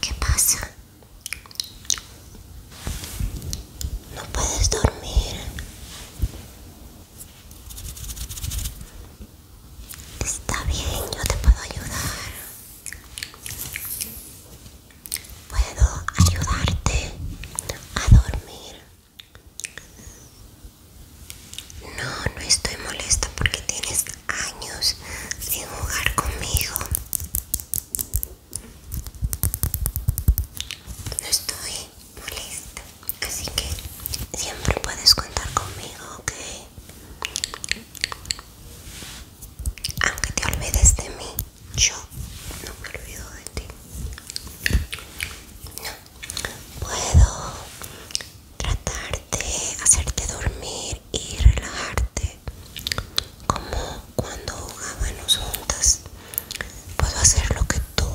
¿Qué pasa? No puedes dormir. Está bien, yo te puedo ayudar. Puedo ayudarte a dormir. No, no estoy molesta porque tienes años sin jugar conmigo. No estoy molesta, así que siempre puedes contar conmigo, ¿ok? Aunque te olvides de mí, yo no me olvido de ti puedo tratar de hacerte dormir y relajarte como cuando jugábamos juntas puedo hacer lo que tú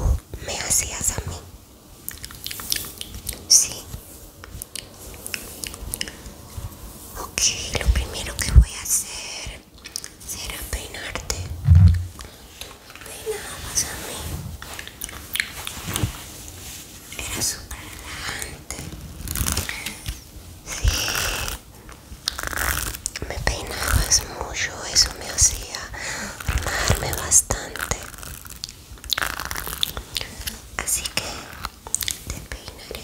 me hacías a mí sí ok lo primero que voy a hacer será peinarte Peinamos a mí era súper Sí. Me peinabas mucho, eso me hacía amarme bastante. Así que te peinaré.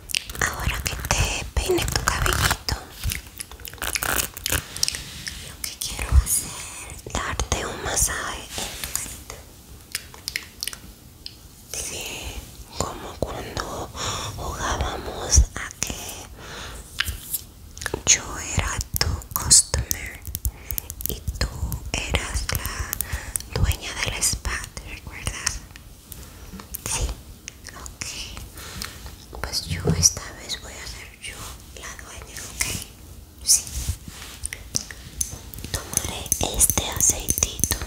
ahora que te peine tu cabellito lo que quiero hacer darte un masaje sí, como cuando jugábamos a que yo era tu customer y tú eras la dueña del spa, ¿te recuerdas? Sí, ok. Pues yo esta vez voy a ser yo la dueña, ok. Sí. Tomaré este aceitito.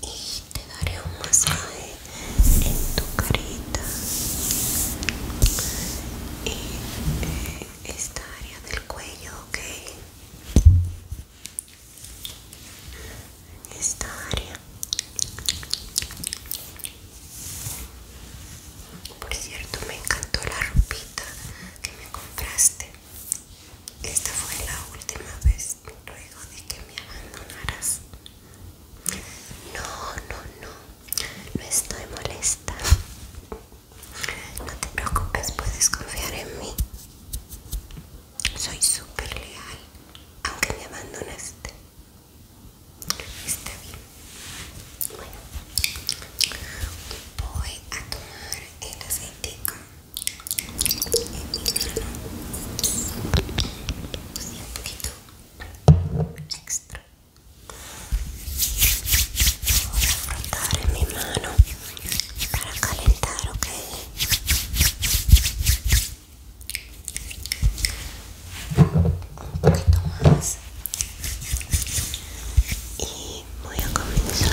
Y te daré un masaje en tu carita y eh, esta área del cuello, ok. Esta área. Por cierto, me encantó la ropita que me compraste. Esta fue la última vez luego de que me abandonaras. No, no, no, no estoy molesta. No te preocupes, puedes confiar en mí. Soy súper leal, aunque me abandonaste. Está bien. Bueno, voy a tomar el aceite. en mi mano. un poquito extra voy a frotar en mi mano para calentar ok un poquito más y voy a comenzar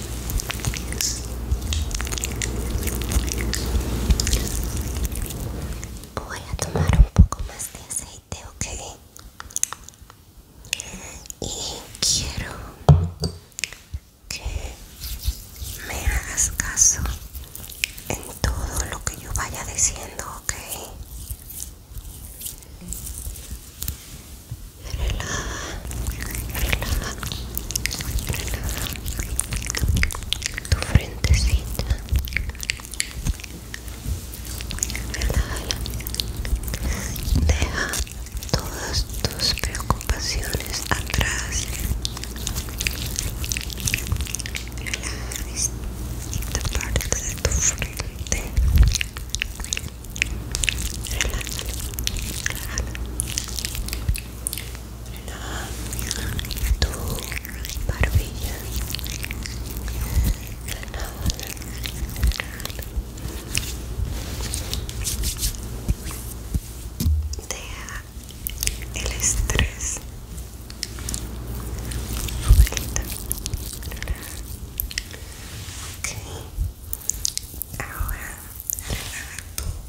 Voy a tomar un poco más de aceite, ok. Y quiero que me hagas caso en todo lo que yo vaya diciendo, ok relaja, relaja, relaja tu frentecita, relájala, deja todas tus preocupaciones atrás, relaja esta parte de tu frente, relájala, relájala relaja tu barbilla deja el estrés suelta relaja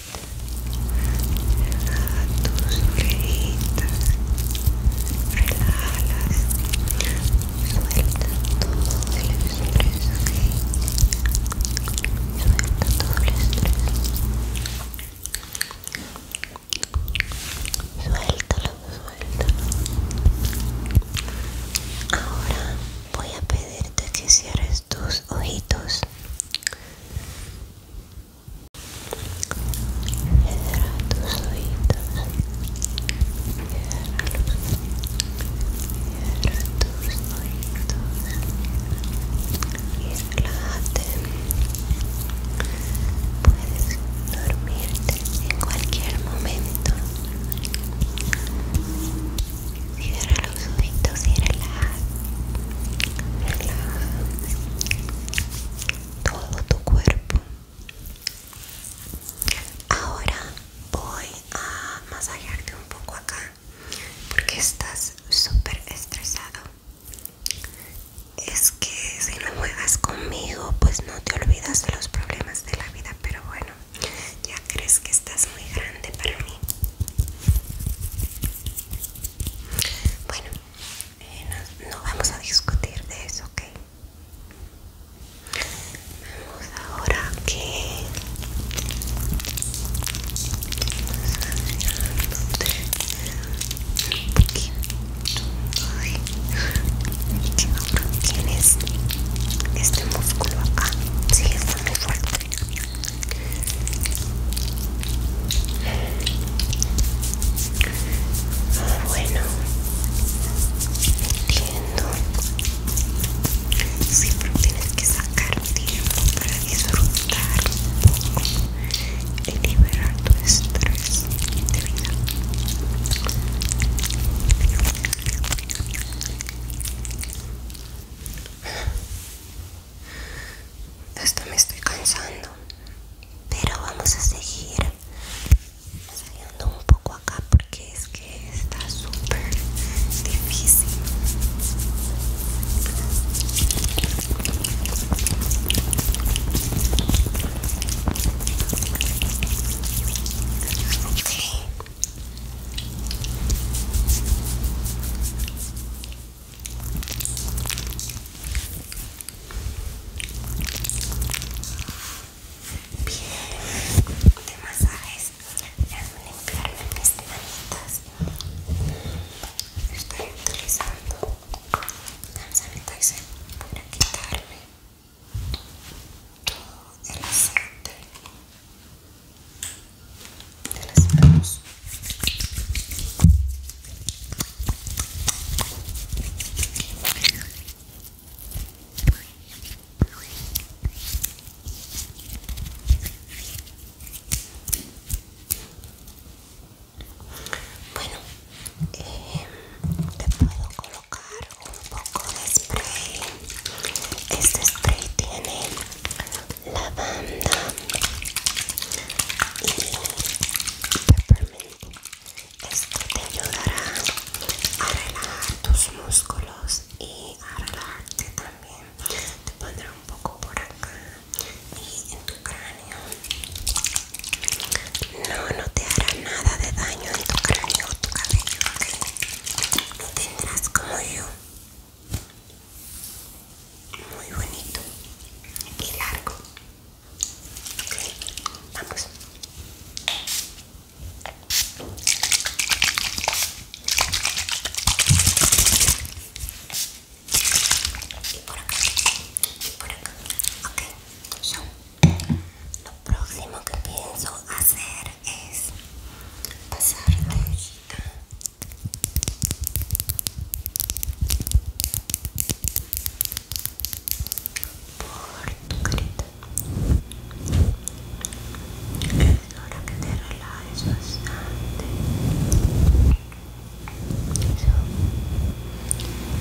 relaja tus orejitas, relájalas, suelta todo el estrés, suelta todo el estrés, suéltalo, suéltalo. Ahora voy a pedirte que cierres tus ojitos Cierra tus oídos. Ciérralos. Cierra tus oídos. Y relájate. Puedes dormirte en cualquier momento. Cierra los ojitos y relaja, relaja todo tu cuerpo. Ahora voy a masajearte un poco acá porque estás súper estresado. Es que si no juegas conmigo, pues no te olvidas de los problemas de la vida, pero bueno, ya crees que estás muy grande para mí. Bueno, eh, no, vamos a discutir de eso, ¿ok? Vamos ahora que un poquito tienes este músculo acá, sí, está muy fuerte bueno, entiendo. Siempre tienes que sacar tiempo para disfrutar y liberar tu estrés de vida esto me estoy cansando. Pero vamos a seguir saliendo un poco acá porque es que está súper difícil. Bien, de masajes, a limpiarme mis manitas. Estoy utilizando lanzamiento para quitarme todo el aceite de las bueno, eh, te puedo colocar un poco de spray. Este spray tiene lavanda y peppermint. Esto te ayudará a relajar tus músculos y a relajarte también. Te pondré un poco por acá y en tu cráneo. No, no te hará nada de daño en tu cráneo o tu cabello, ¿ok? No tendrás como yo muy bonito y largo ok vamos y por acá y por acá ok lo próximo que pienso hacer es pasar la hojita por es hora que te relajes bastante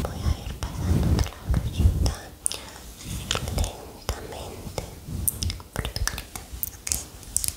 voy a ir pasándote la brochita lentamente por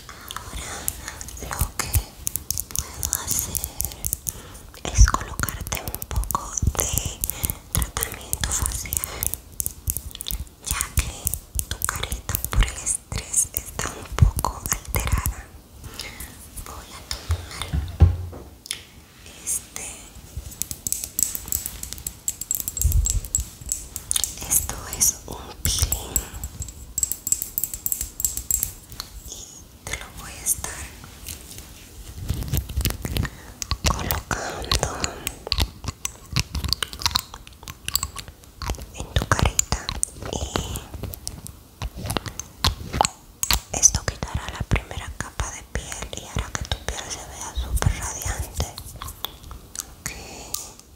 Ahora lo que puedo hacer es colocarte un poco de tratamiento facial, ya que tu careta por el estrés está un poco alterada. Voy a tomar este esto es un y te lo voy a estar colocando en tu carita y esto quitará la primera capa de piel y hará que tu piel se vea súper radiante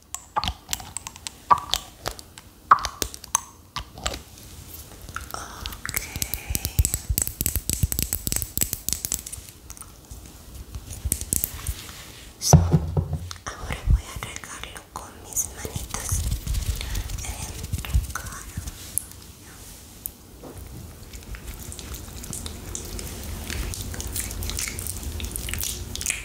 Ok. So, ahora voy a regarlo con mis manitas. Regar.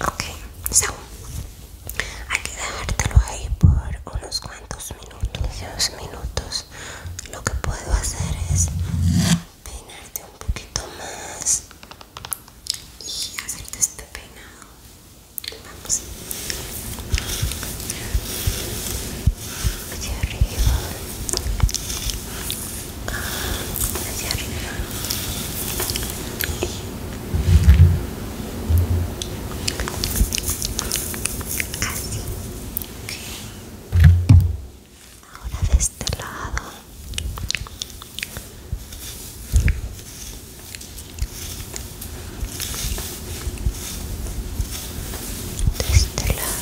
Ok, so, hay que dejártelo ahí por unos cuantos minutos, dos minutos. Lo que puedo hacer es peinarte un poquito más y hacerte este peinado. Vamos. Hacia arriba. Hacia arriba. Ahora de este lado. De este lado.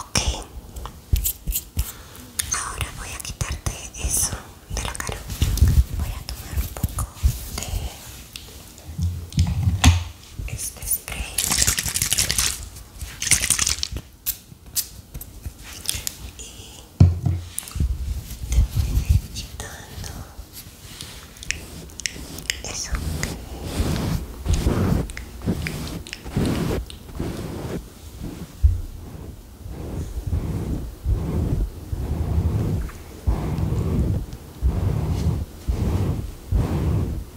Okay, ahora voy a quitarte eso de la cara. Voy a tomar un poco de este spray y te voy a ir quitando eso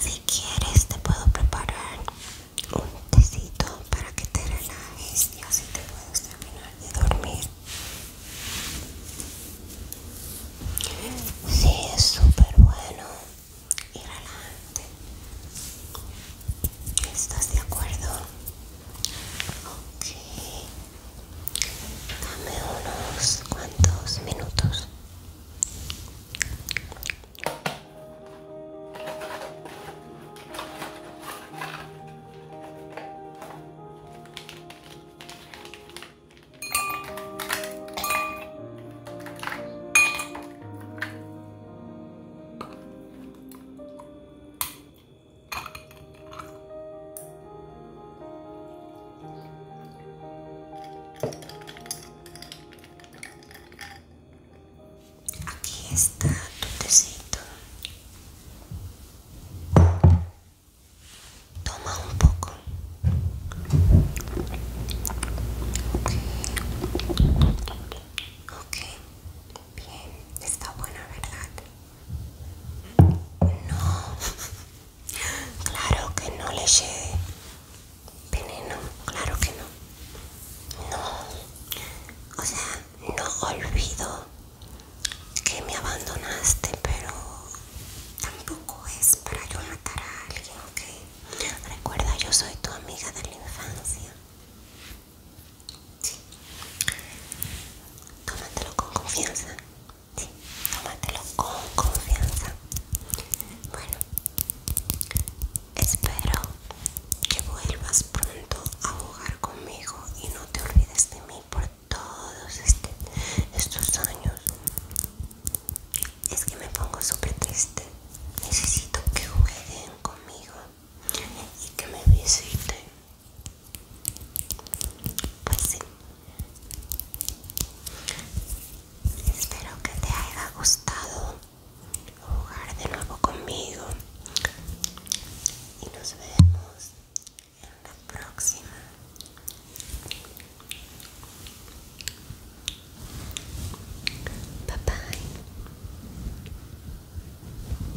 si quieres te puedo preparar un tecito para que te relajes y así te puedes terminar de dormir. Sí, es súper bueno y relajante. ¿Estás de acuerdo? Ok, dame unos cuantos minutos. Aquí está tu tecito. Toma un poco. Okay. ok, bien, está buena, ¿verdad? No, claro que no le lleve veneno, claro que no. No, o sea, no olvido que me abandonaste, pero tampoco es para yo matar a alguien, ¿ok? Recuerda, yo soy tu amiga de la infancia. Sí. Tómatelo con confianza. Sí, tómatelo con confianza. Bueno, espero que vuelvas pronto a jugar conmigo y no te olvides de mí por todos este, estos años. Es que me pongo súper triste. Necesito que jueguen conmigo y que me visiten. Pues sí. Espero que te haya gustado jugar de nuevo conmigo. Y nos vemos en la próxima. Bye bye.